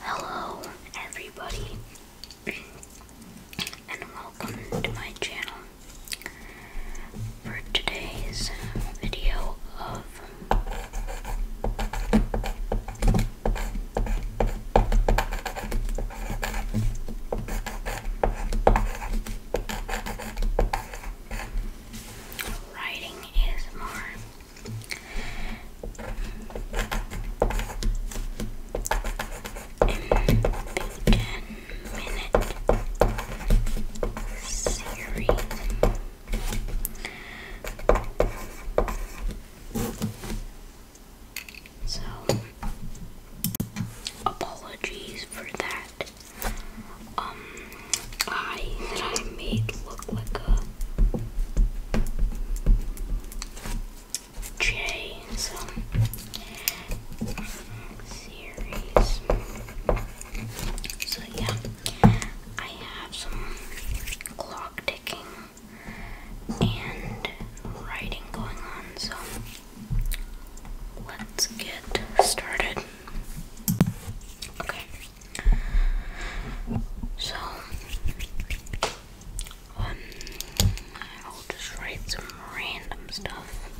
Hello, everybody, and welcome to my channel. For today's video of Writing is more in ten-minute series. So, apologies for that. Um, I made look like a J. So, series. So yeah, I have some clock ticking and writing going on. So let's get started. Okay. So, um, I'll just write some random stuff.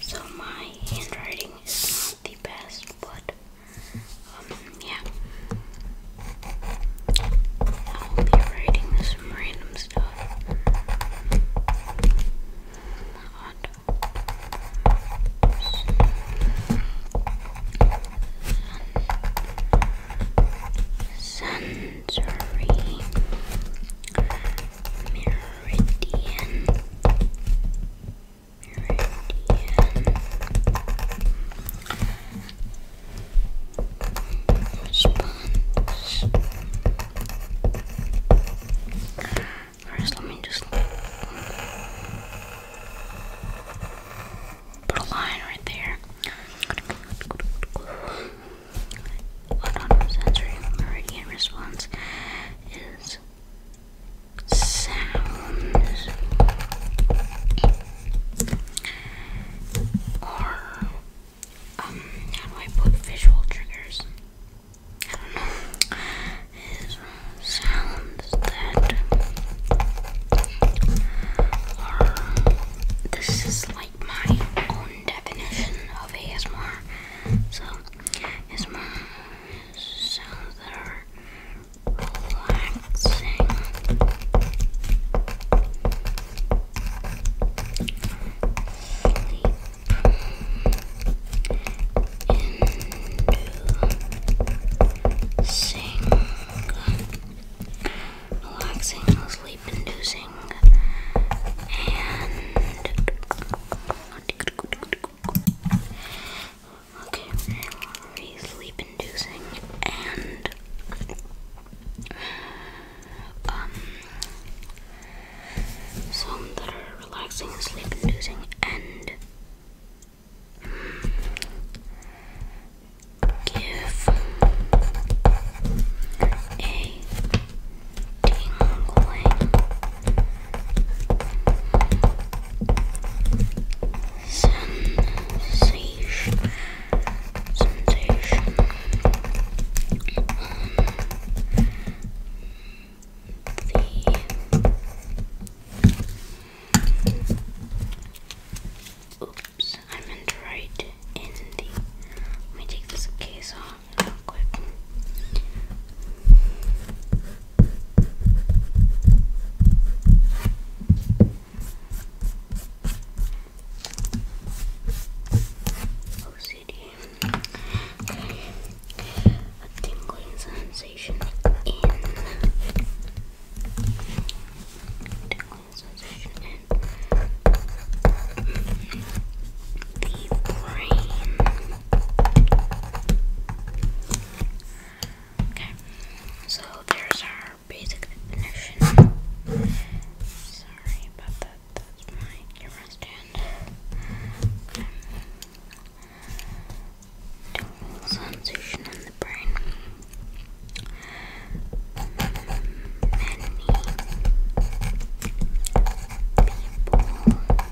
So, my handwriting is the best, but, um, yeah. I'll be writing some random stuff. Sensory Meridian. Response. First, let me just put a line right there. Autonomous sensory meridian response is sound or um, how do I put visual triggers? I don't know. Is sounds that are this is like my own definition of ASMR. So ASMR sounds that are relaxing. Sleep. Inducing. Relaxing, sleep inducing. And Okay, very sleep inducing and um some that are relaxing sleep inducing and give a tingling sensation, sensation the oops, I meant to write in the let me take this case off real quick. OCD. Okay. A Tingling sensation in. The brain. Okay, so there's our basic definition. Sorry about that, that's my camera stand. sensation in the brain. Many people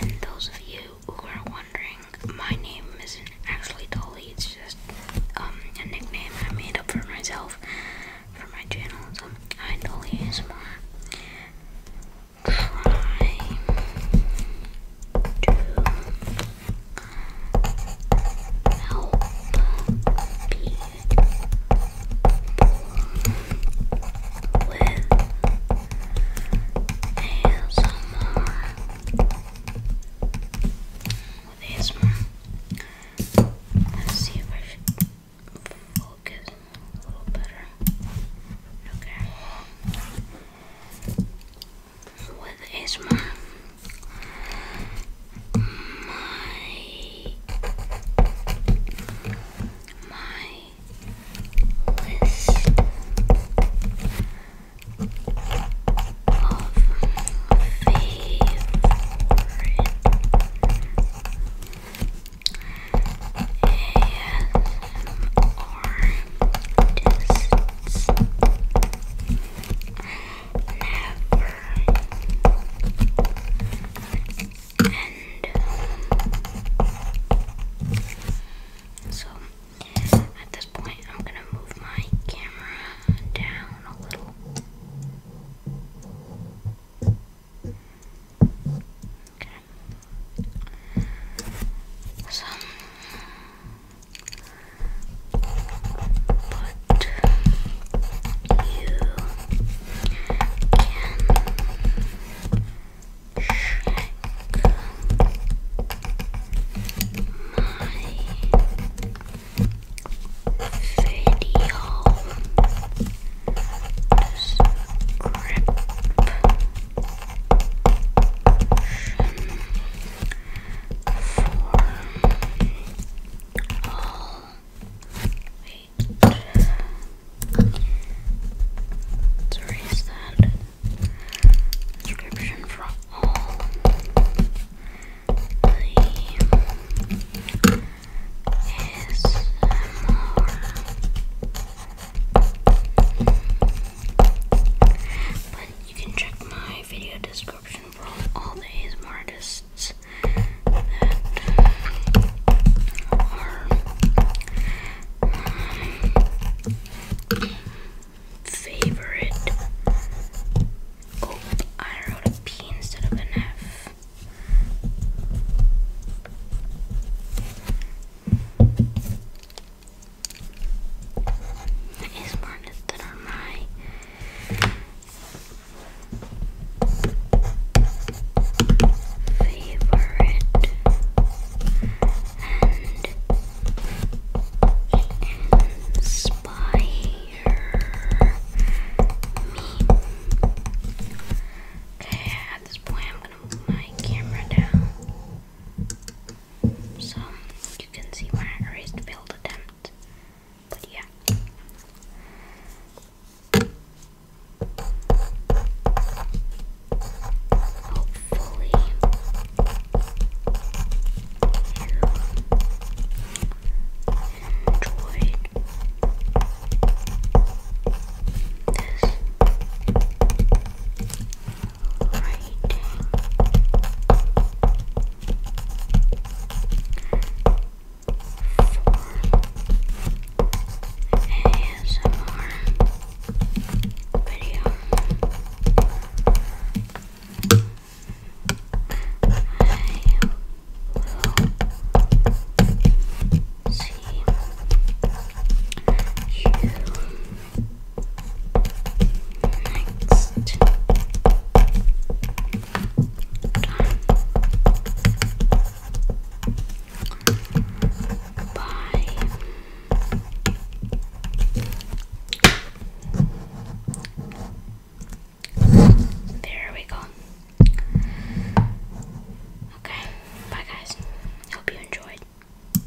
And those of you who are wondering, my name isn't actually Dolly, it's just um, a nickname I made up for myself for my channel. So, I Dolly is more. Try to help with ASMR. With ASMR. Let's see if I should focus a little better. Okay. With ASMR, my my list of favorite ASMR artists. Never and um, so at this point I'm gonna move my camera down a little okay so you can check my video description for all Wait. erase that description from all the ASMR. But you can check my video description from all the artists podcasts favorite. Oh, I wrote a P instead of an F. Is are my favorite and inspire me. Okay, at this point, I'm gonna move my camera down. So you can see my wrist build attempt. But yeah. Hopefully you enjoyed this Right. For ASMR video. I will see you Next. Done. Bye. There we go. Okay, bye guys. Hope you enjoyed.